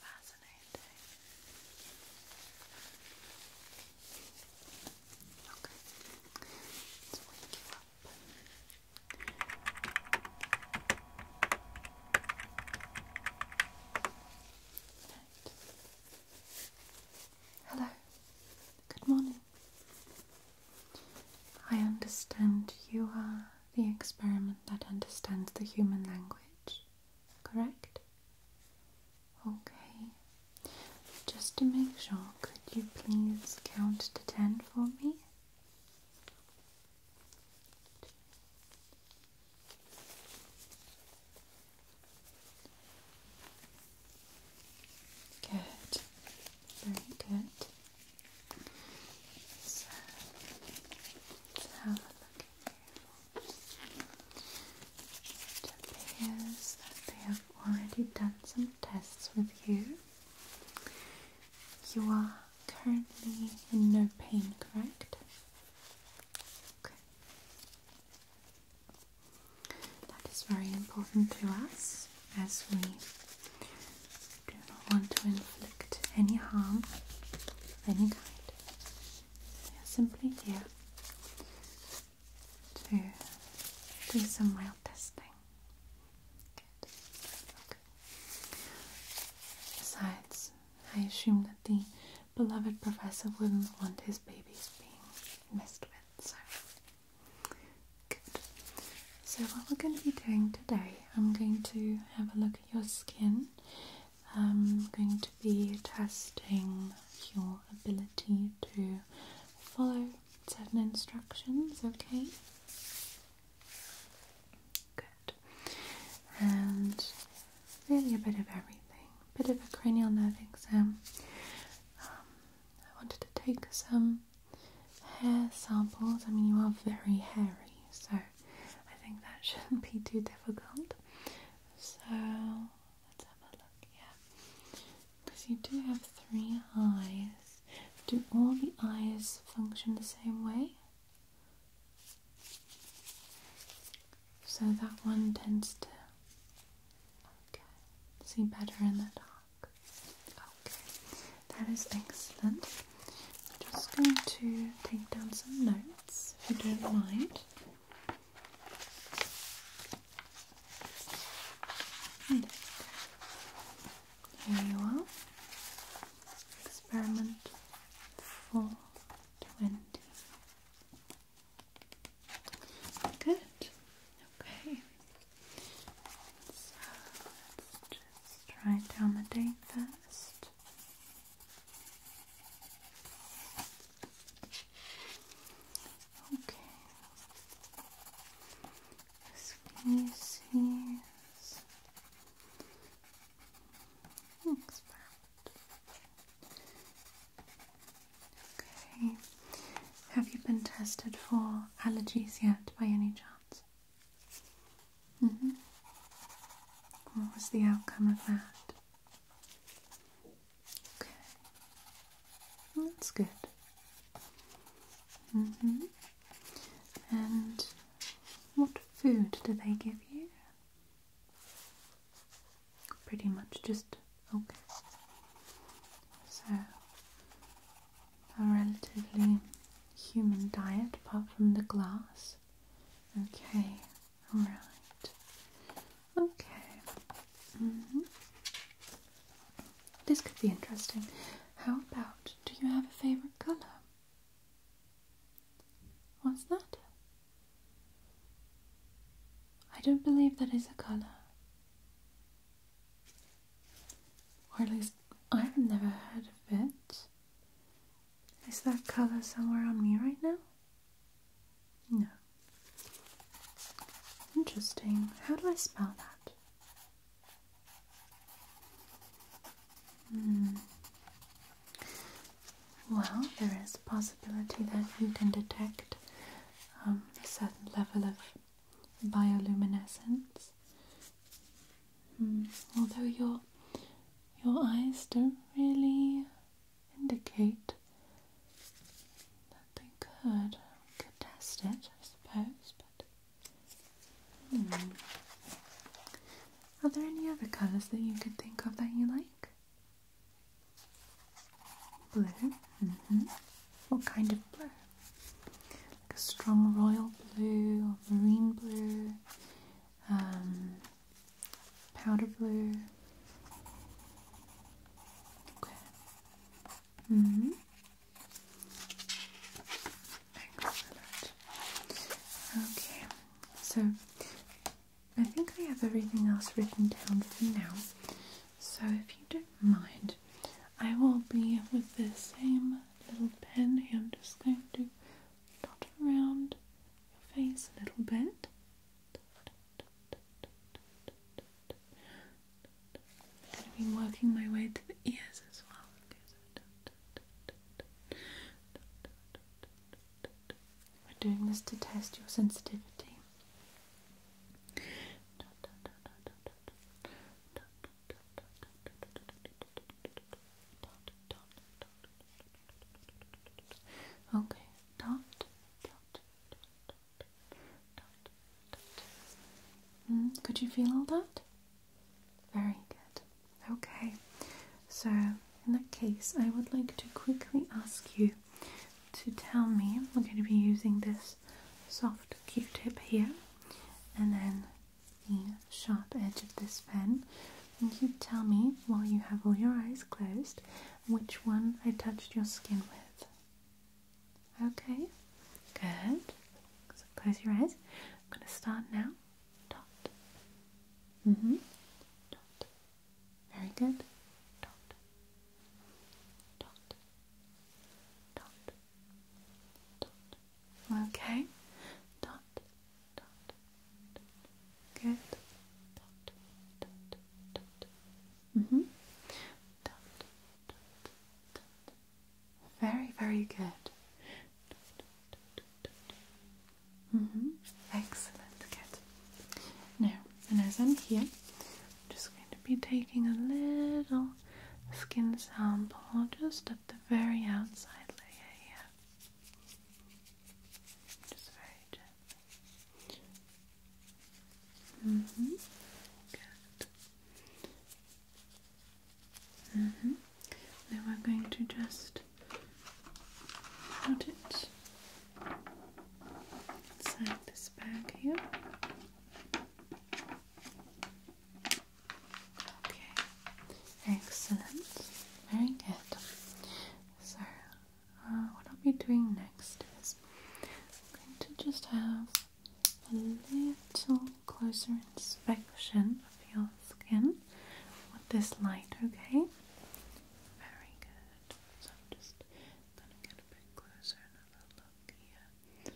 fascinating. Hello, good morning. I understand you are the experiment that understands the human language, correct? Okay. Just to make sure, could you please count to ten for me? Good. Very good. So, let have a look at It appears that they have already done some tests with you. You are currently in no pain, correct? Okay. That is very important to us as we do not want to inflict any harm of any kind. They are simply here to do some real testing. Good. Okay. Besides, I assume that the beloved professor wouldn't want his babies being messed with, so good. So what we're going to be doing today, I'm going to have a look your skin. I'm going to be testing your ability to follow certain instructions, okay? Good. And really a bit of everything, bit of a cranial nerve exam. Um, I wanted to take some hair samples. I mean, you are very hairy, so I think that shouldn't be too difficult. So let's have a look, yeah. Because you do have three eyes. Do all the eyes function the same way? So that one tends to see better in the dark. Okay, that is excellent. I'm just going to take down some notes if you don't mind. Hmm. Here you are. Experiment 420. Good. Okay. So let's just write down the date first. Okay. Species. Looks perfect. Okay. Have you been tested for allergies yet by any chance? Mm-hmm. What was the outcome of that? Okay. That's good. Mm-hmm. And what food do they give you? Pretty much just okay. So a relatively human diet apart from the glass. Okay, alright. Okay. Mm-hmm. This could be interesting. How about do you have a favorite color? What's that? I don't believe that is a color. Or at least I've never heard of it. Is that color somewhere on me right now? No. Interesting. How do I spell that? Hmm. Well, there is possibility that you can detect um, a certain level of bioluminescence Hmm. although your your eyes don't really indicate that they could could test it, I suppose. But hmm. are there any other colours that you could think of that you like? Blue. Mm-hmm. What kind of blue? a strong royal blue, or marine blue, um, powder blue. Mm-hmm. Okay. so I think I have everything else written down for now. So if you don't mind, I will be with the same little pen here. I'm just going to around your face a little bit. I'm going to be working my way to the ears as well. We're doing this to test your sensitivity. Okay, dot, dot, dot, dot, dot. Mm, could you feel all that? Very good. Okay, so in that case, I would like to quickly ask you to tell me. We're going to be using this soft Q-tip here, and then the sharp edge of this pen, and you tell me while you have all your eyes closed which one I touched your skin with. Okay, good. close your eyes. I'm going to start now. Dot. Mm hmm. Dot. Very good. Dot. Dot. Okay. Good. Mhm. Very, very good. Mhm. Excellent. Good. Now, and as I'm here, I'm just going to be taking a little skin sample, just a the very outside layer here. Just very gently. Mm-hmm. Mm-hmm. Now we're going to just put it inside this bag here. Okay, excellent. Very good. So, uh, what I'll be doing next is going to just have a little closer inspection of your skin with this light, okay? Very good. So, just going get a bit closer and have a look here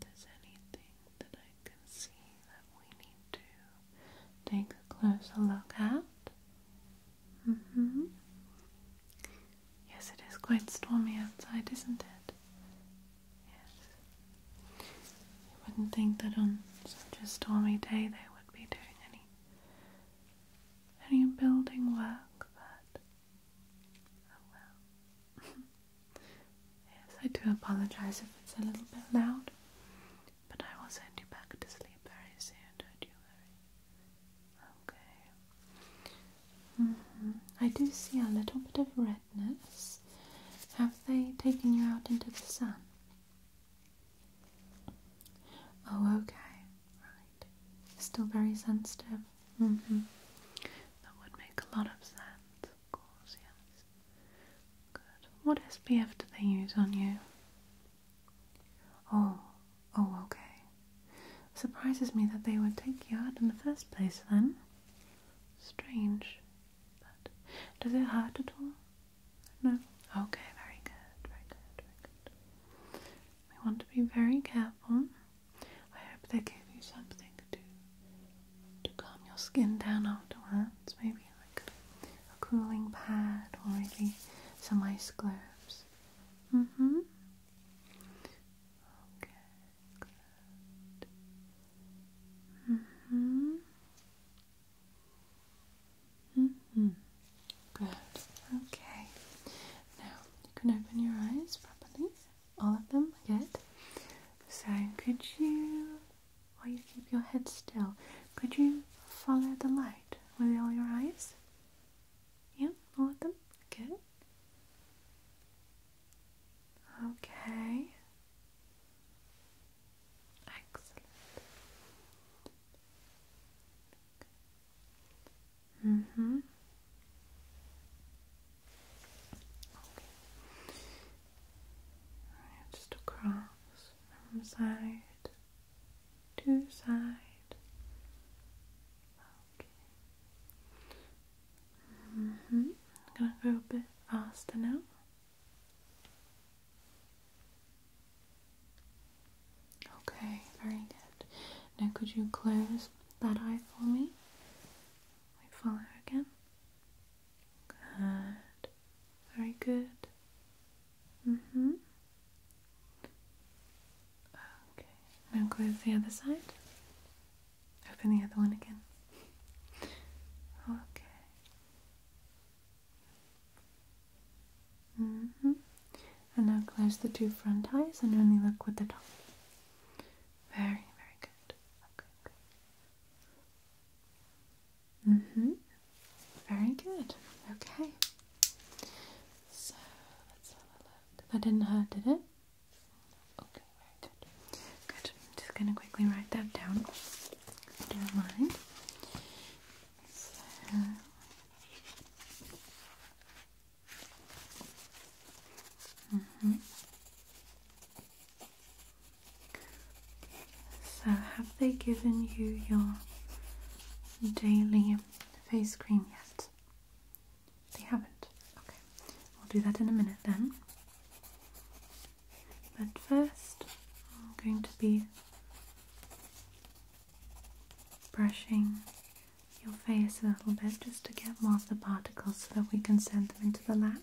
there's anything that I can see that we need to take a closer look at. Mm hmm. Yes, it is quite stormy outside, isn't it? Yes. You wouldn't think that on such a stormy day they would be doing any any building work, but oh well. Yes, I do apologize if it's a little bit loud, but I will send you back to sleep very soon, don't you worry. Okay. Mm-hmm. I do see a little bit of redness. Have they taken you out into the sun? Oh, okay. Right. Still very sensitive. Mm-hmm. That would make a lot of sense, of course, yes. What SPF do they use on you? Oh, oh, okay. Surprises me that they would take you out in the first place then. Strange. But does it hurt at all? No? Okay, very good, very good, very good. We want to be very careful. I hope they gave you something to calm your skin down afterwards. Maybe like a cooling pad or maybe some ice globes. hmm Okay, hmm hmm Good. Okay. Now you can open your eyes properly. All of them? Good. So, could you, while you keep your head still, could you follow the light with all your eyes? Yeah, all of them? Good. Okay. Excellent. Mm hmm just across side to side. Okay. -hmm. I'm gonna go a bit faster now. Okay, very good. Now could you close that eye for me? We follow again. Good. Very good. Mm-hmm. Okay. Now close the other side. Open the other one again. Okay. Mm-hmm. And now close the two front eyes and only look with the top. Very, very good. okay. Mm-hmm. Very good. Okay. So let's have a look. That didn't hurt, did it? Okay, very good. Good. I'm just gonna quickly write that down. If you mind. So mm so, have they given you your daily face cream yet? They haven't. Okay, we'll do that in a minute then. But first, I'm going to be brushing your face a little bit just to get more of the particles so that we can send them into the lamp.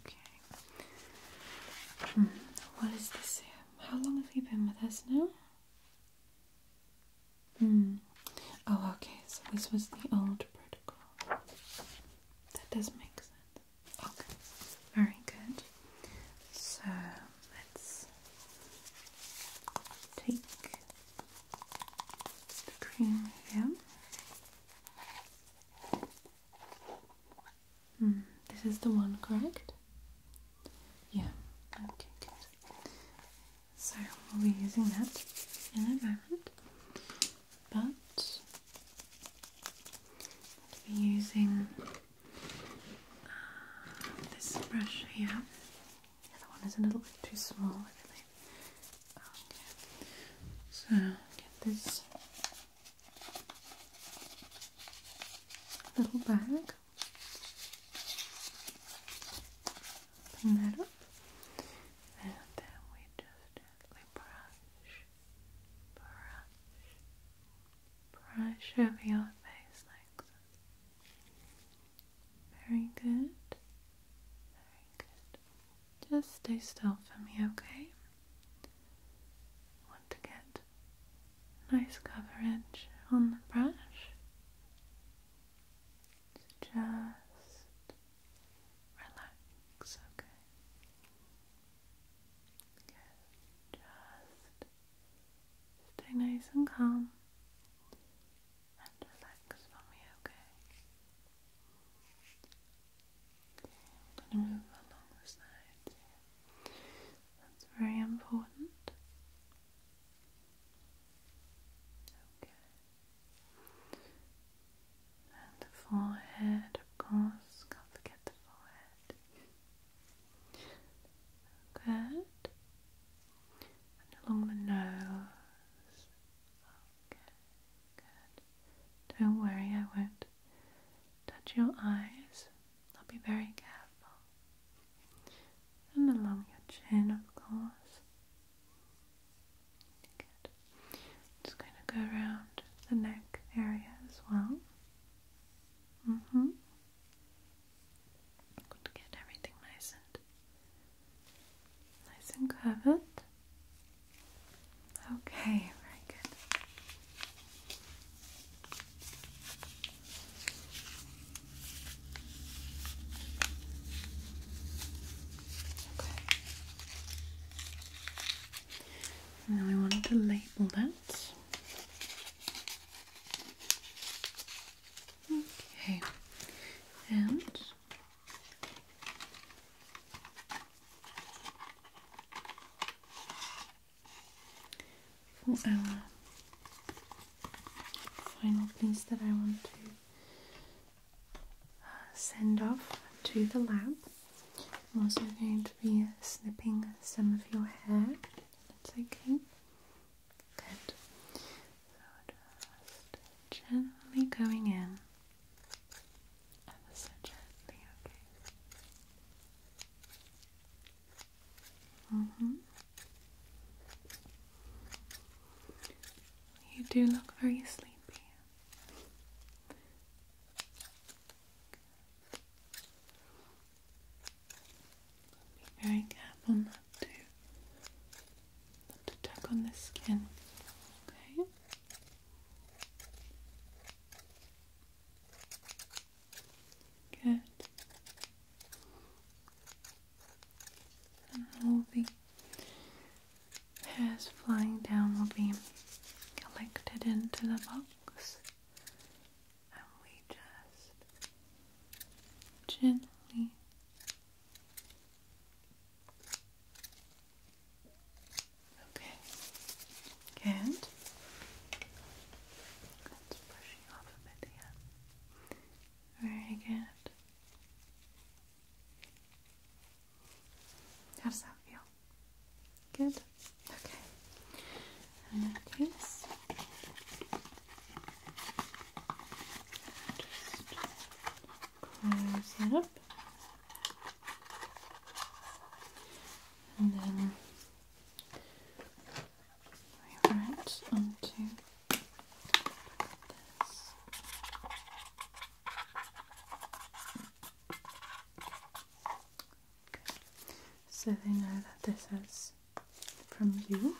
Okay. Hmm, what is this? How long have you been with us now? Hmm. Oh, okay. So this was the old protocol. That does make sense. Okay. Very good. So let's take the cream here. Hmm, this is the one, correct? Yeah, okay, good. So we'll be using that in a moment, but we'll be using uh, this brush here. The other one is a little bit too small, I believe. Okay, so get this little bag. bring that up, and then we just brush, brush, brush over your face like so. Very good, very good. Just stay still for me, okay? want to get nice coverage on the brush. just relax, okay? Just stay nice and calm and relax for me, okay? I'm move along the sides That's very important. Okay. And the forehead, of course. Can't forget the forehead. Good. And along the nose. Okay. Good. Don't worry, I won't touch your eyes. I'll be very careful. And along your chin, of course. Good. Just going to go around the neck area as well. Mm hmm. Good to get everything nice and nice and covered. Okay, very good. Okay. Now I wanted to label that. Okay, and for our final piece that I want to uh, send off to the lab. I'm also going to be snipping some of your hair. That's okay. Good. So just gently going in. Ever okay? Mm-hmm. You do look very sleepy. Be very careful not to not to tug on the skin. Okay. Good. And all the hairs flying down will be collected into the box, and we just gently Okay. And that's brushing off a bit here. Very good. How does that feel? Good? Okay. In that case, just close that up and then over onto this. So they know that this is from you.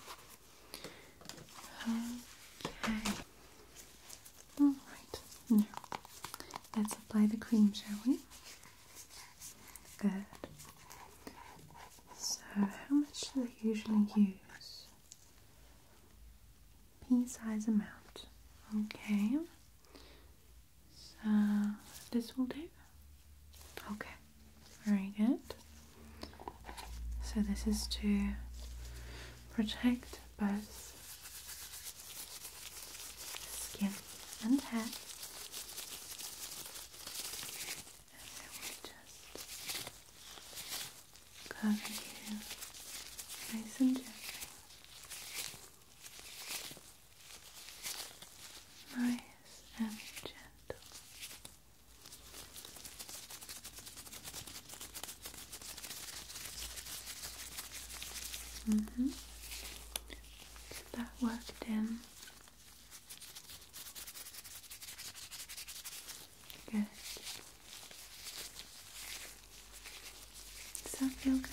Okay. All right, now let's apply the cream, shall we? Good. So, how much do they usually use? Pea size amount. Okay. So, this will do. Okay, very good. So, this is to protect both skin and hair. And I will just cover you nice and gently. Nice and gentle. Mm -hmm. Get that worked in. Good. Does that feel good?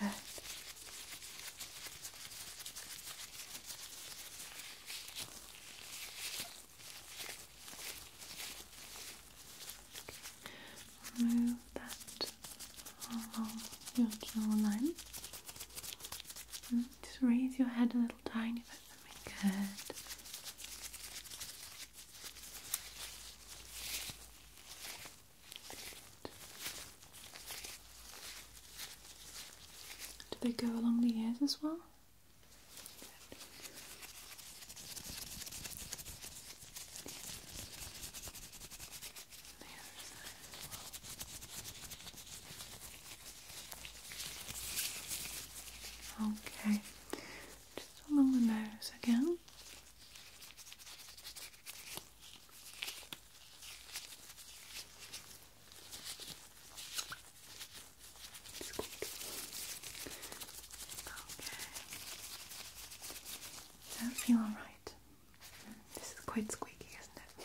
Good. Okay. that along your just raise your head a little tiny bit for me. Good. Do they go along the ears as well? Okay, just along the nose again. It's good. Does that feels alright? This is quite squeaky, isn't it?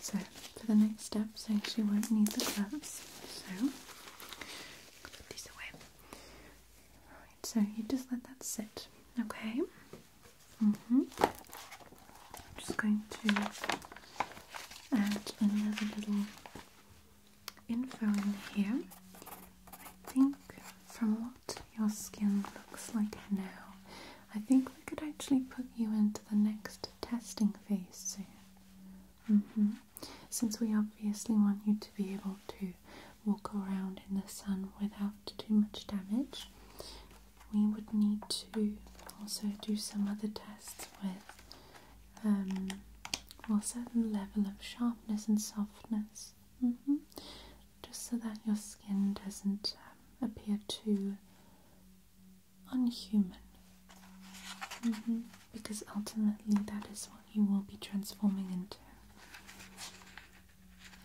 So, for the next steps, I actually won't need the gloves. So, put these away. so you just let that sit, okay? hmm. I'm just going to add another little info in here. I think from what your skin looks like now, I think we could actually put you into the next testing phase soon. Mm-hmm. Since we obviously want you to be able to walk around in the sun without too much damage, we would need to also do some other tests with um, or a certain level of sharpness and softness, mm-hmm. just so that your skin doesn't um, appear too unhuman. Mm-hmm. Because ultimately, that is what you will be transforming into.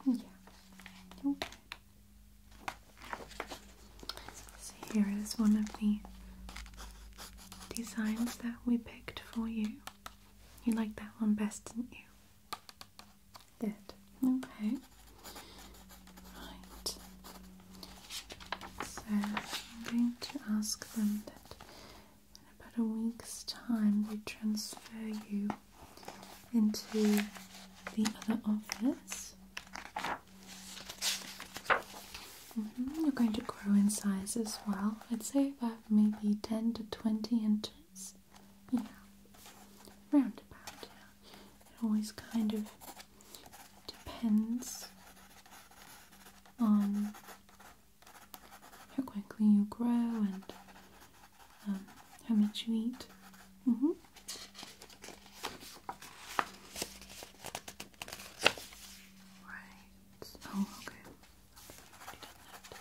Yeah. Okay. here is one of the designs that we picked for you. You liked that one best, didn't you? Did. Okay. Right. So I'm going to ask them that in about a week's time we transfer you into the other office. You're mm-hmm. going to grow in size as well. I'd say about maybe 10 to 20 inches. Yeah, roundabout, yeah. It always kind of depends on how quickly you grow and um, how much you eat. Mm-hmm. Right oh, okay.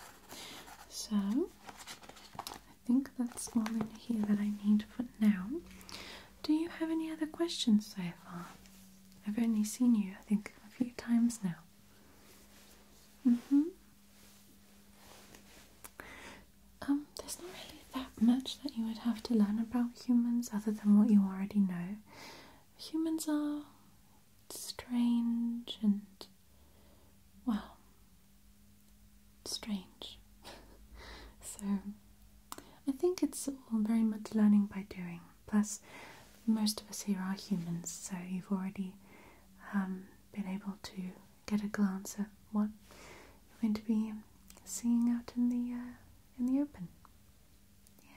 So, I think that's all in here that I need for now. Do you have any other questions so I've only seen you, I think, a few times now. Mm-hmm. Um, there's not really that much that you would have to learn about humans other than what you already know humans are strange and, well, strange. so, I think it's all very much learning by doing. Plus, most of us here are humans, so you've already um, been able to get a glance at what you're going to be seeing out in the uh, in the open.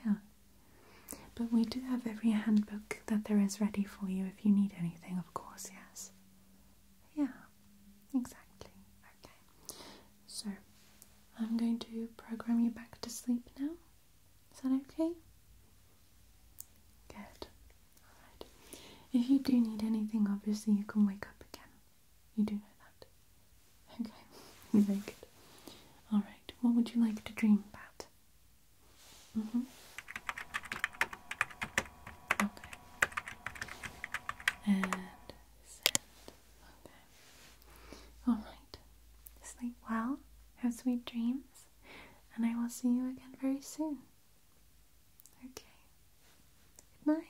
Yeah. But we do have every handbook that there is ready for you if you need anything, of course, yes. Yeah, exactly. Okay. So, I'm going to program you back to sleep now. Is that okay? Good. Alright. If you do need anything, obviously you can wake up again. You do know that. Okay, very good. Alright, what would you like to dream about? Mm hmm. Okay. And Okay. Alright. Sleep well, have sweet dreams, and I will see you again very soon. Okay. Good night.